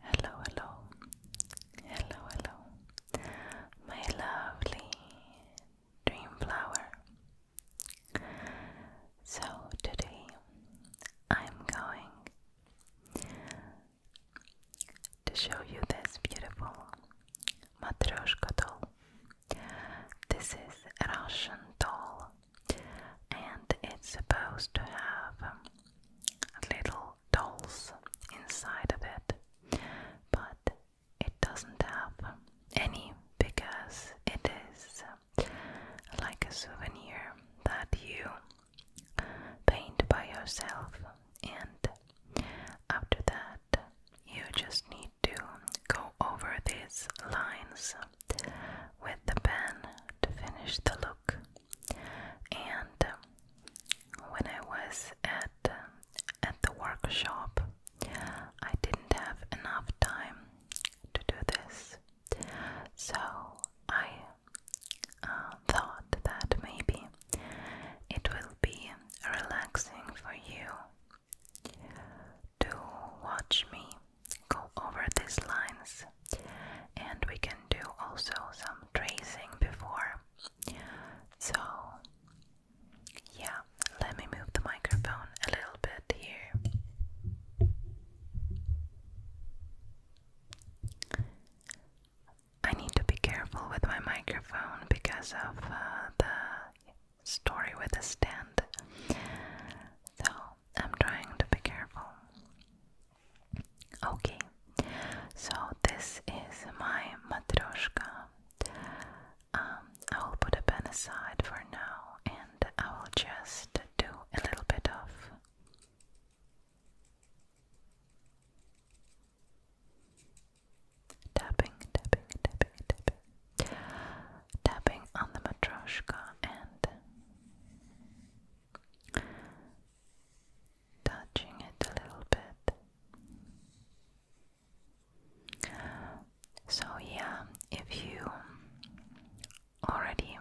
Hello, hello, hello, hello, my lovely dream flower. So, today I'm going to show you this beautiful matryoshka doll. This is Russian doll and it's supposed to have um, little dolls inside of it, but it doesn't have any because it is um, like a souvenir that you paint by yourself, and after that, you just need to go over these lines with the pen to finish the look. And um, when I was at uh, at the workshop, I didn't have enough time to do this, so I uh, thought that maybe it will be relaxing for you to watch me go over these lines and we can do also some tracing before. So, yeah, let me move the microphone a little bit here. I need to be careful with my microphone because of uh, the story with the stand. So, I'm trying to be careful. Okay, so this is my matryoshka. Um, I will put a pen aside for now and I will just do a little bit of tapping, tapping, tapping, tapping, on the matryoshka and touching it a little bit. So, yeah, if you already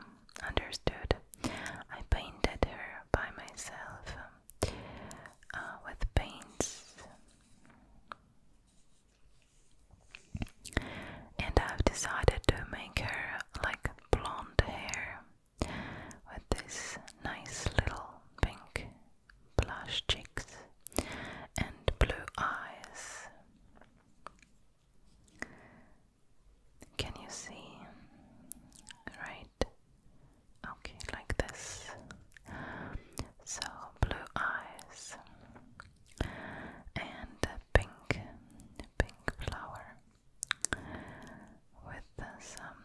understood, I painted her by myself uh, with paints. And I've decided to make her like blonde hair with this nice little pink blush cheeks and blue eyes. Can you see? Right? Okay, like this. So, blue eyes and a pink, pink flower with some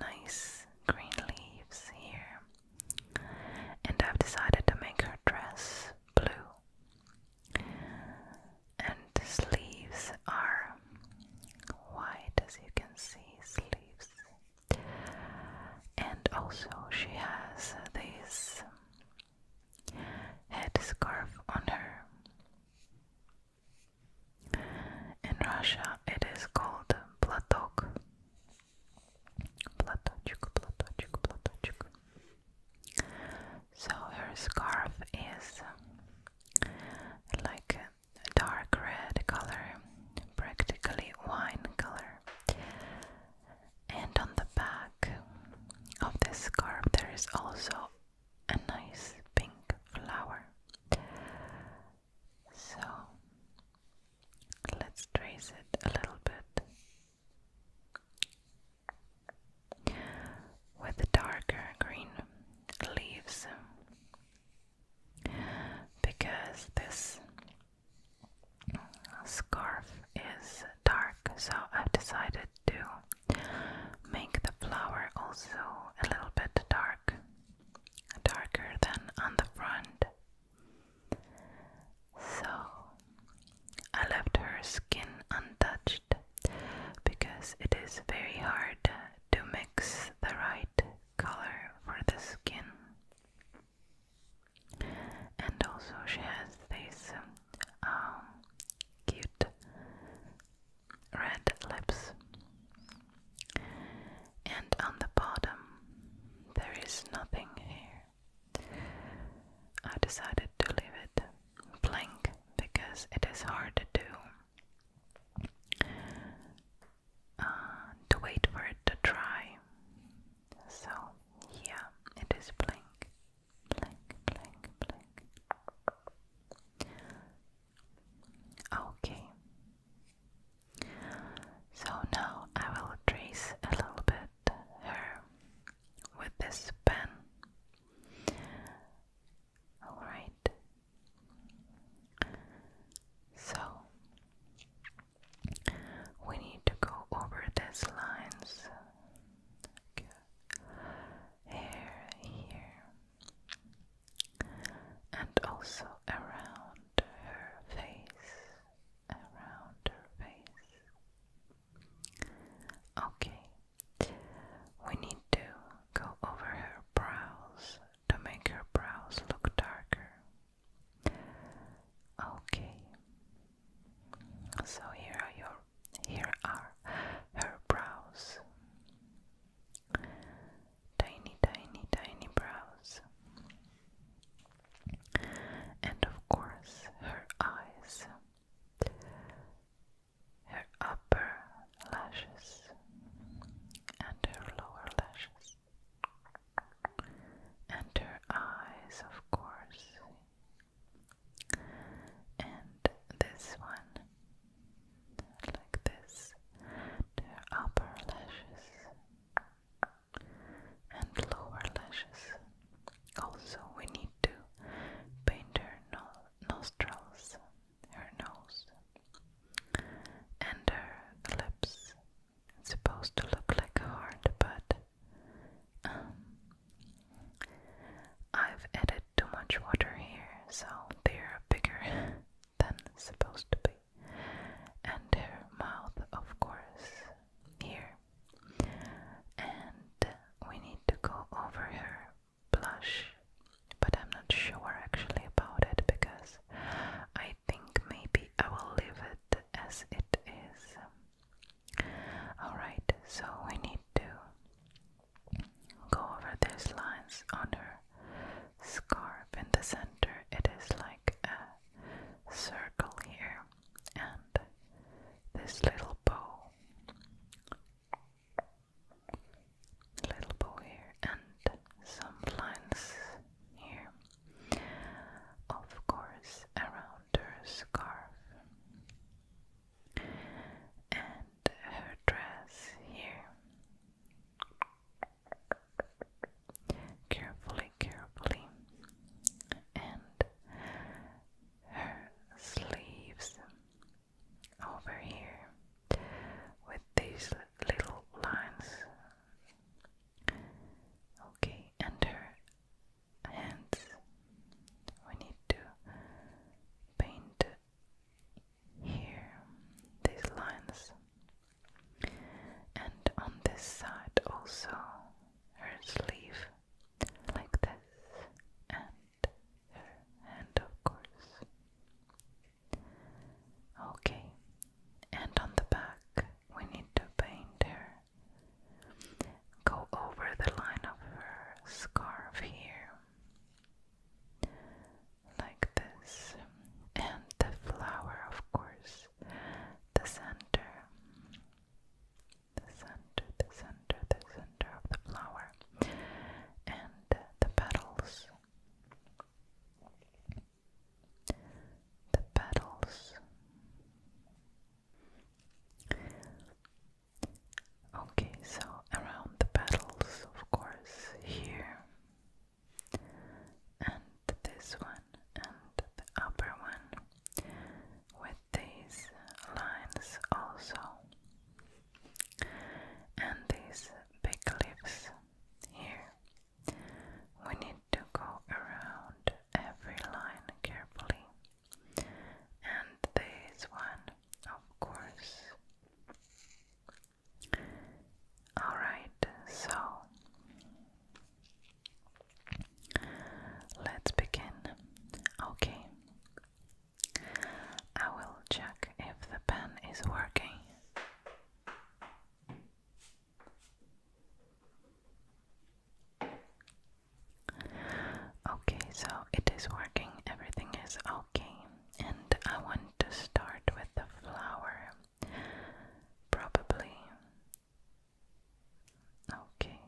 nice green leaves here. And I've decided to make her dress blue. And the sleeves are white, as you can see, sleeves. And also, she has these headscarf on her. In Russia, it is called platok. Platochuk, platochuk, platochuk. So her scarf is like dark red color, practically wine color. And on the back of this scarf, there is also a nice pink flower. So let's trace it a little bit with the darker green leaves because this scarf is dark, so I've decided to make the flower also a little bit dark, darker than on the front. So I left her skin untouched because it is very hard to mix the right color for the skin. And also, she has these um, cute red lips. And on the bottom, there is nothing here. I decided to leave it blank because it is hard to do uh, to wait for it to dry. So yeah, it is blank. Blink, blink, blink. Okay. So now I will trace a little bit her with this pen. Alright. So we need to go over these lines. Okay hair here and also around her face. Around her face. Okay, we need to go over her brows to make her brows look darker. Okay, so here are your here are her brows. Tiny, tiny, tiny brows. And of course, her eyes. Her upper lashes and her lower lashes. And her eyes, of course and this one like this their upper lashes and lower lashes also we need to paint her nostrils her nose and her lips supposed to look like a heart but um, I've added too much water here, so they're bigger than supposed to be. And their mouth, of course, here. And we need to go over here, blush, but I'm not sure actually about it because I think maybe I will leave it as it is. Alright, so we need to Go over these lines on her scarf in the center. It is like a circle here, and this little bow, little bow here, and some lines here. Of course, around her scarf her dress here. Carefully, carefully, and her sleeves over here with these little lines. Okay, and her hands. We need to paint here these lines and on this side also her sleeve like this and her hand of course okay and on the back we need to paint her go over the line of her scarf here like this, and the flower, of course, the center, the center, the center, the center of the flower, and the petals, the petals. Okay, so around the petals, of course, here, and this one, and the upper one, with these lines also, and these big leaves here. We need to go around every line carefully, and this one of course. Alright, so let's begin. Okay, I will check if the pen is working. Okay, so it is working, everything is okay and I want to start with the flower. Probably. Okay.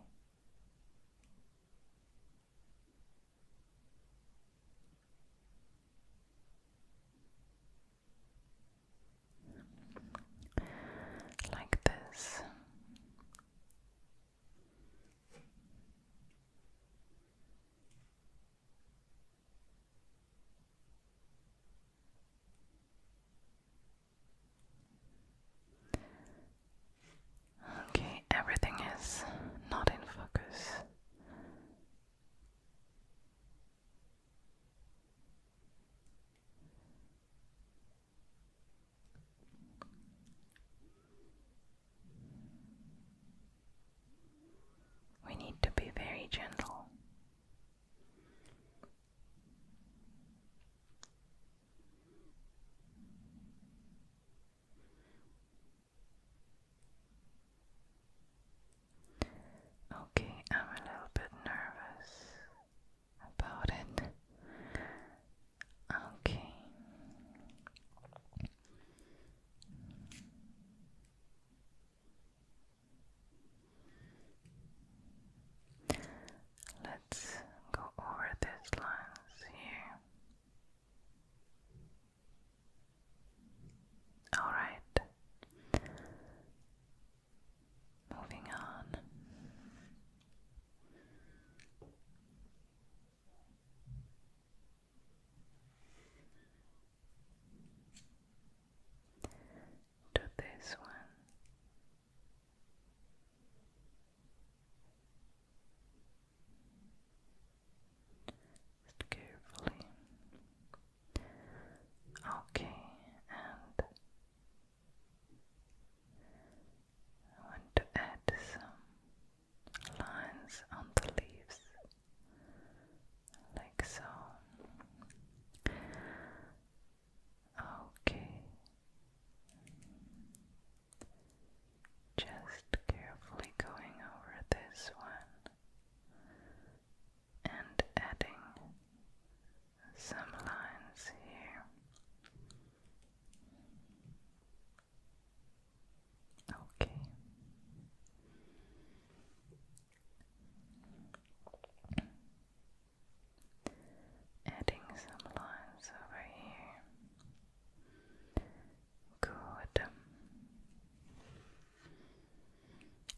Like this. Okay, everything is not in focus. We need to be very gentle. Okay, I'm a little bit nervous about it. Okay. Let's go over these lines here. All right. Moving on to this one. carefully. Okay, and I want to add some lines on the leaves, like so. Okay, just carefully going over this one and adding some lines here. Okay. Adding some lines over here. Good.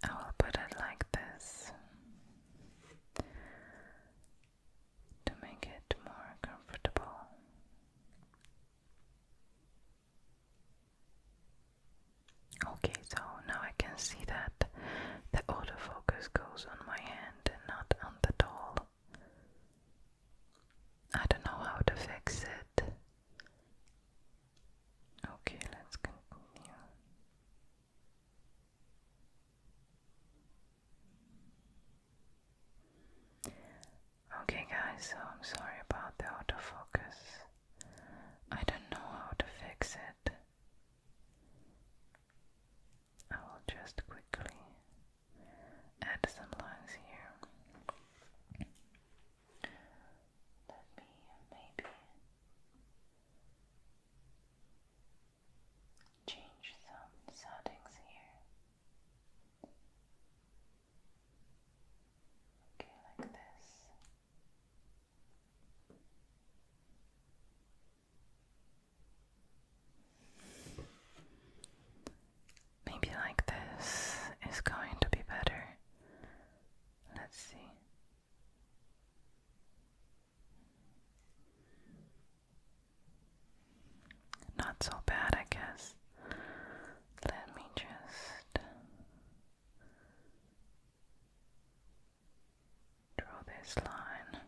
I will put it like this to make it more comfortable. Okay, so now I can see that the autofocus goes on my hand and not on the doll. I don't know how to fix it. Okay, let's continue. Okay guys, so I'm sorry about the autofocus. I don't know how to fix it. I will just quickly add some lines here. Let me maybe change some settings here. Okay, like this. Maybe like this is going to be better. Let's see. Not so bad, I guess. Let me just draw this line.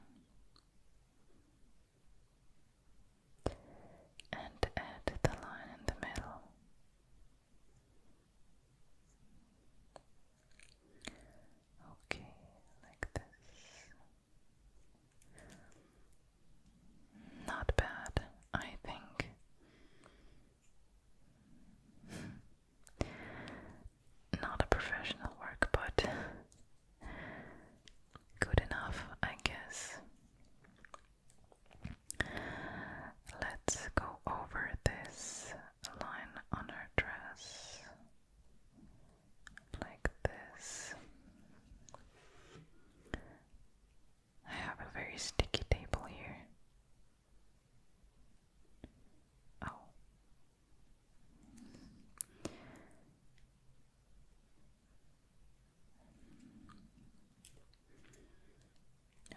And add the line in the middle. Okay, like this. Not bad, I think. Not a professional work, but good enough, I guess. Let's go over this line on her dress like this. I have a very sticky table here. Oh.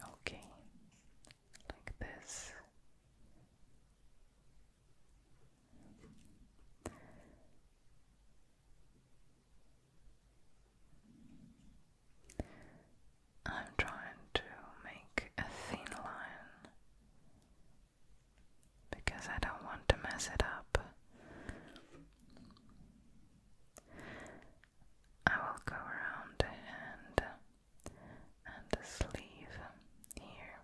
Okay, like this. I'm trying to make a thin line because I don't want to mess it up. I will go around the hand and the sleeve here,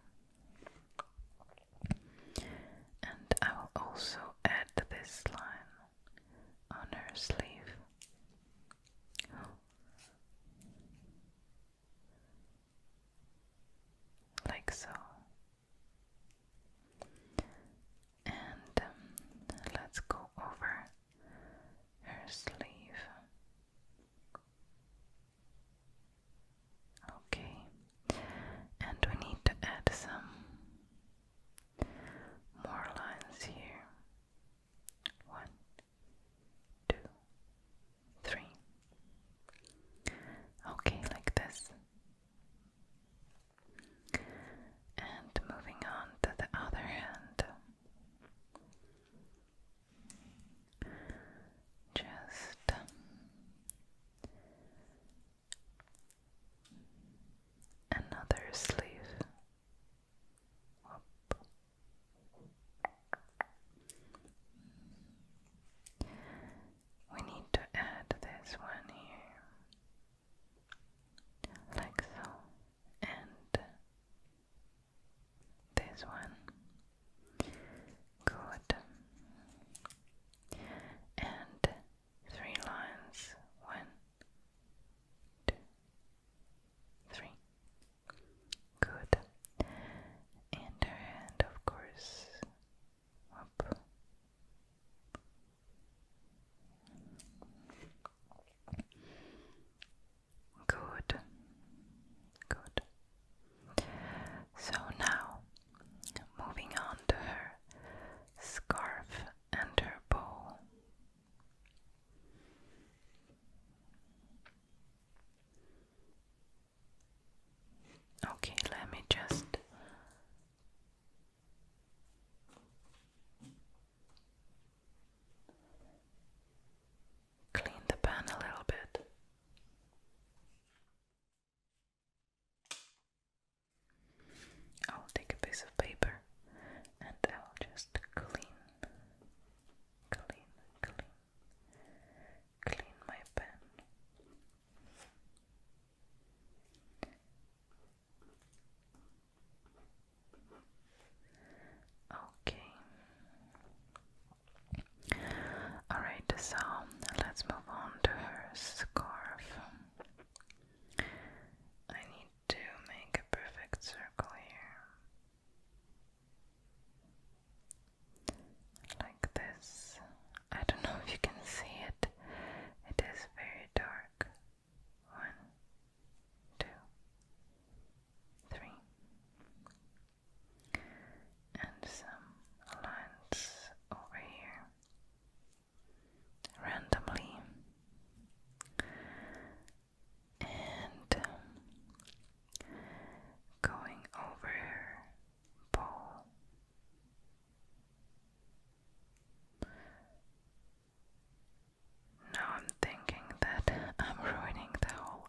and I will also add this line on her sleeve. Like so. And um, let's go over her sleeve. Okay, and we need to add some more lines here. One, two, three. Okay, like this. And moving on to the other hand. Just um, another sleeve. We need to add this one here, like so, and this one. Good. And three lines. One, two, three. Good. And hand, of course, up. Good. Good. So now, moving on to her scarf under her bowl. Okay, let me just clean the pan a little bit. I'll take a piece of paper and I'll just clean, clean, clean, clean my pen. Okay. Alright, so let's move on to her scarf. I to make a perfect circle here. Like this. I don't know if you can see it. It is very dark. One, two, three. And some lines over here randomly and um, going over Paul. Now I'm thinking that I'm ruining the whole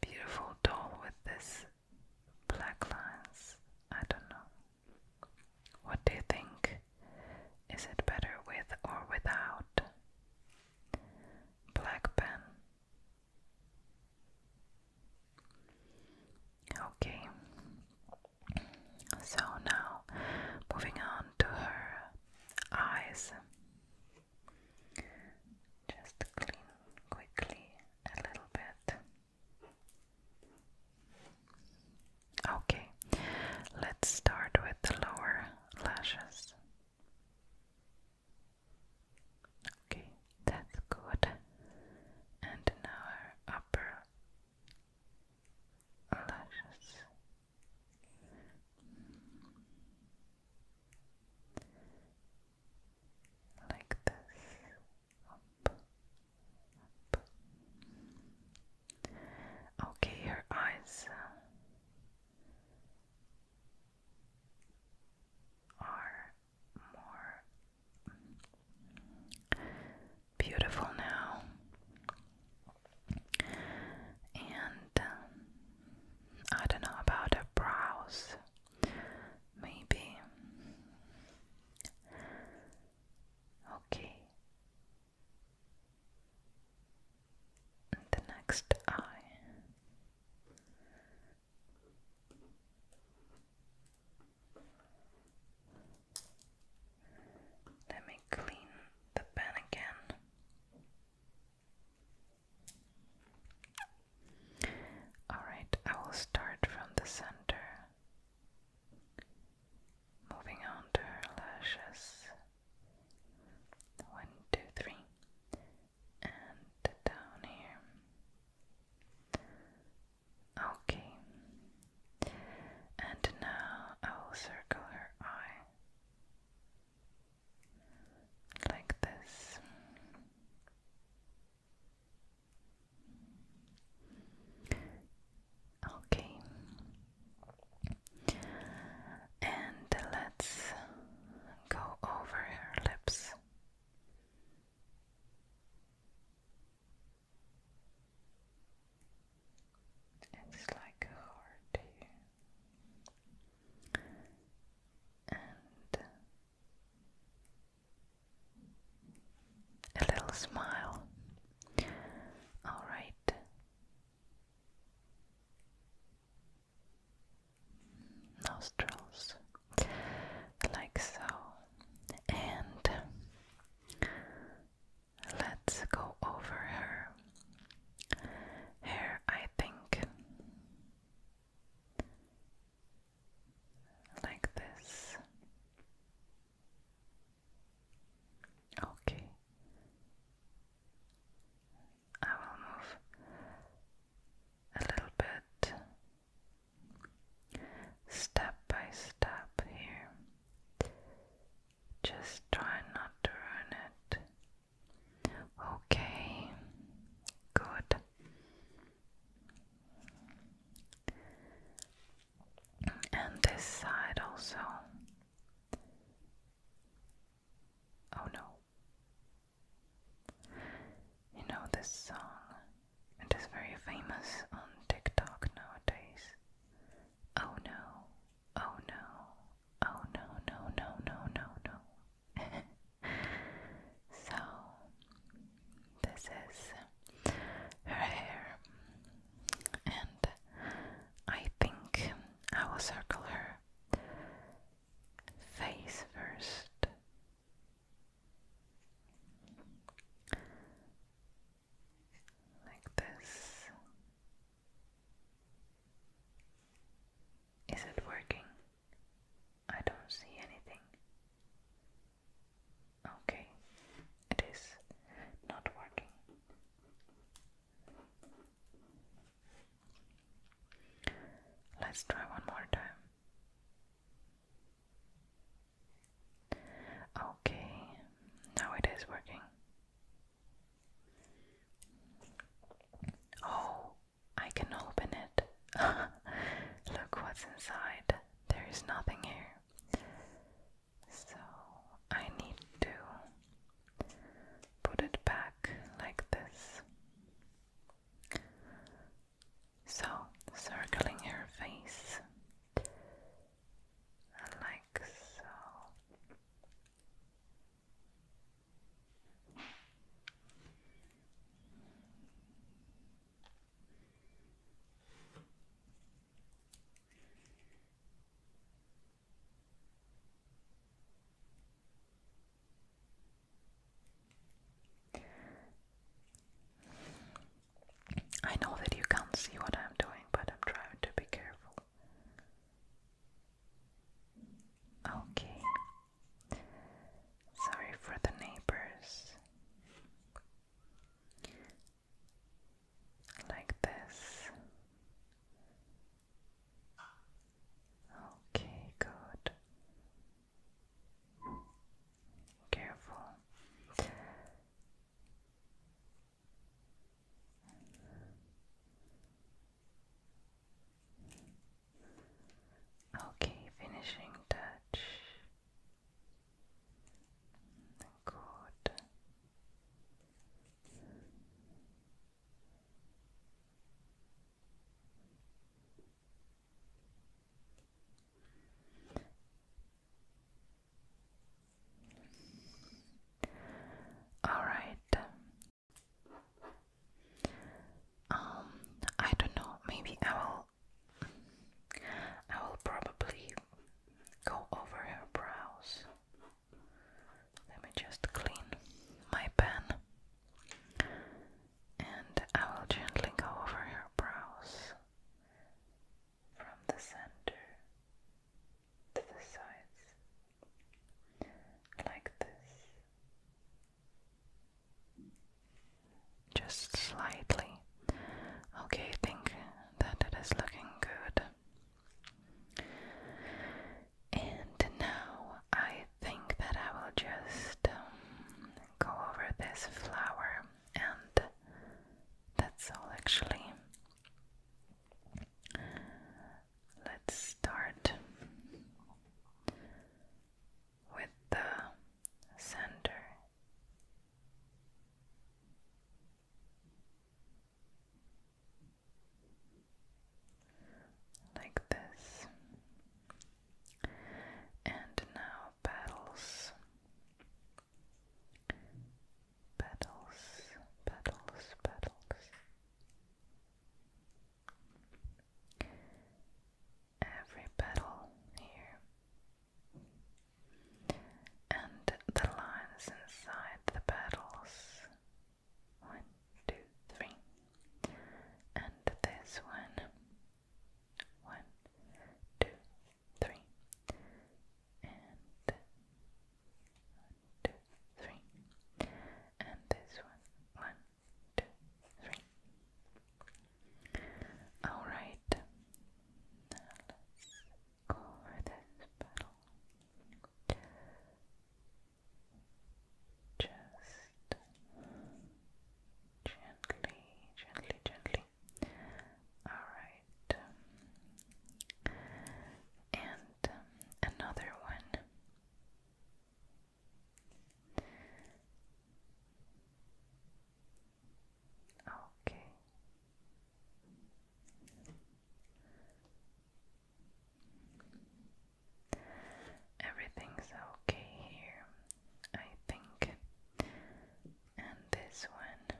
beautiful doll with this black lines. I don't know. What do you think? Is it better with or without? Black pen. Okay. So now moving on to her eyes. Just clean quickly a little bit. Okay, let's start with the lower lashes. Okay, that's good. And now our upper lashes. Like this. Up. Okay, her eyes uh, are more beautiful now, and um, I don't know about her brows, maybe. Okay, the next eye. Let me clean the pen again. Alright, I will start from the center. Moving on to her lashes. One, two, three. And down here. Okay. And now I will circle her eye. Like this. Okay. And let's go over her lips. It's like a heart And a little smile. All right. Nostrils, like so. And let's go over her hair, I think, like this. Okay. I will move a little bit step by step here. Just try not to ruin it. Okay, good and this side also. Oh no. You know this song. It is very famous on TikTok nowadays. Oh no. Oh no. Oh no, no, no, no, no, so, this is her hair and I think I will circle her face first. Like this. Is it working? I don't see anything. Okay, it is not working. Let's try one more time. Okay, now it is working. Oh, I can open it. Look what's inside. There is nothing here. So I need to put it back like this. So, circling her face, like so. I know that you can't see what I'm doing, but I'm trying to be careful. Okay. Sorry for the neighbors like this. Okay, good. Careful. Okay, finishing touch. Good. All right. Um, I don't know. Maybe I will. I will probably go over her brows. Let me just clean my pen and I will gently go over her brows from the center to the sides like this. Just slightly. Okay, think that it is looking good. And now I think that I will just um, go over this flower, and that's all actually. Let's start with the center like this. And now petals, petals, petals, petals. Every petal here and the lines inside the petals. One, two, three. And this one. One, two, three. And one, two, three. And this one. One, two, three. Alright. Now let's cover this petal just gently, gently, gently. Alright. Um, and um, another one. Okay, Everything's okay here, I think. And this one.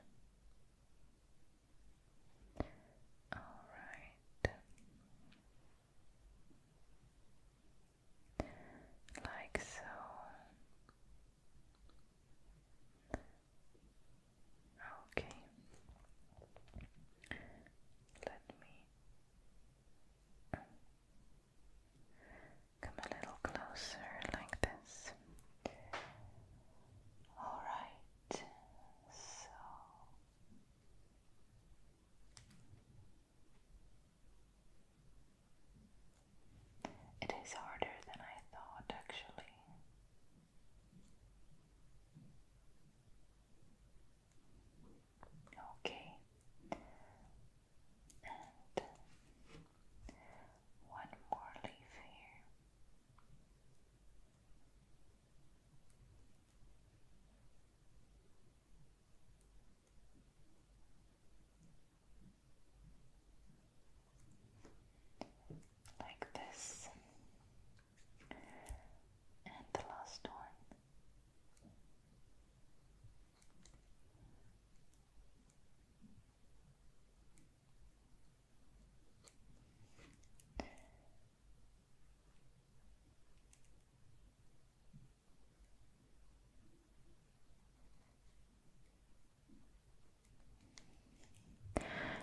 Alright. Like so. Okay. Let me um, come a little closer like this. All right. So it is harder than I thought, actually. Okay, and one more leaf here like this, and the last one.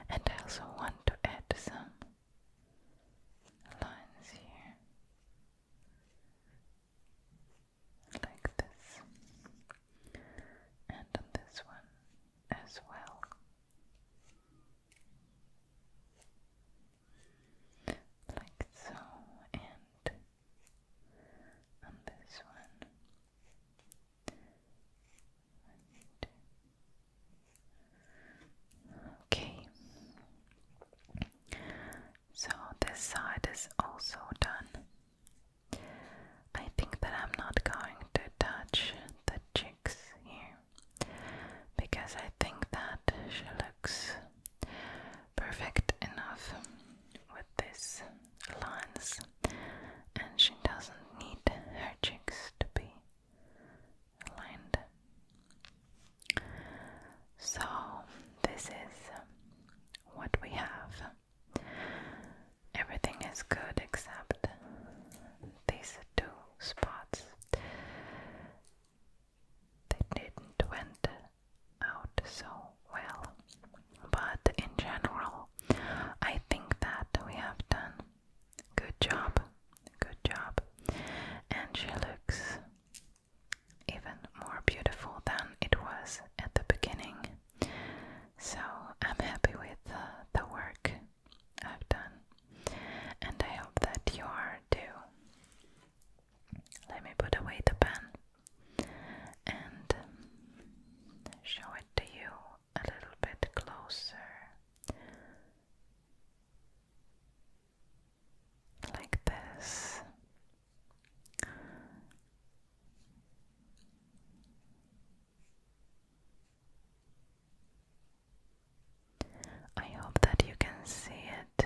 And I also want to add some lines here. Like this, and on this one as well. Like so, and on this one, Okay. So this side is also done. I think that I'm not going to touch the cheeks here because I think that she looks perfect enough with this lines and she doesn't need her cheeks to be so, this is what we have. Everything is good except these two spots. They didn't went out so well, but in general, I think that we have done Good job. Good job. And she looks even more beautiful than it was at the beginning. So I'm happy with the work I've done. And I hope that you are too. Let me put away the pen and show it to you a little bit closer, like this. I hope that you can see it.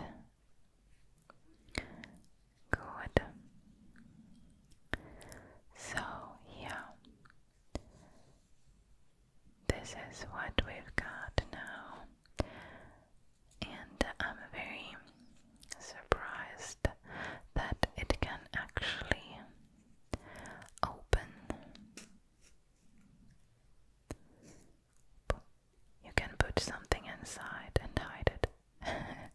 Good. So, yeah, this is what we've got now, and I'm very surprised that it can actually open. You can put something inside and hide it.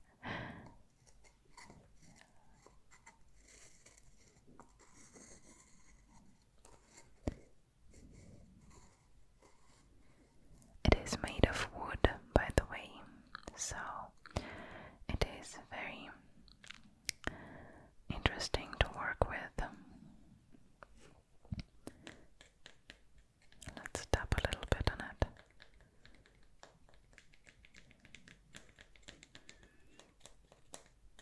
It is made of wood, by the way, so it is very interesting to work with. Let's tap a little bit on it.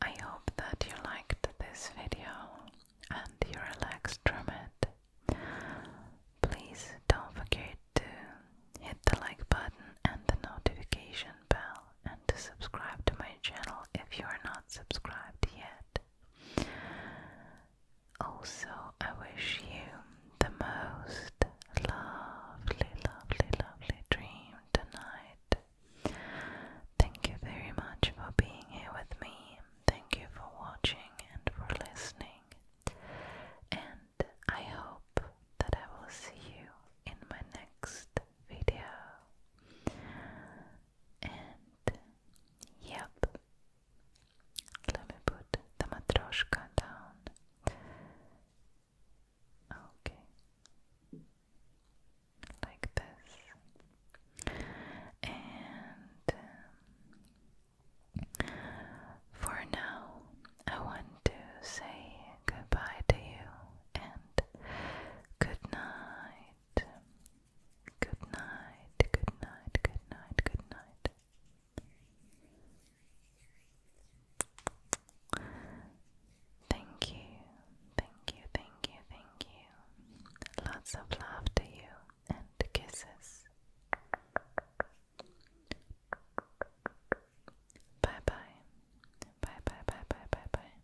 I hope that you liked this video and you relaxed from it. Please don't forget to hit the like button and the notification bell and to subscribe to my channel if you are not subscribed yet. Also, I wish you the most lovely, lovely, lovely dream tonight. Thank you very much for being here with me. Thank you for watching and for listening. And I hope that I will see you in my next video. And yep, let me put the matryoshka down. Okay. Like this. And um, for now, I want to say goodbye to you and good night. Good night, good night, good night, good night. Thank you, thank you, thank you, thank you. Lots of love to you and kisses. Bye bye. Bye bye bye bye bye bye.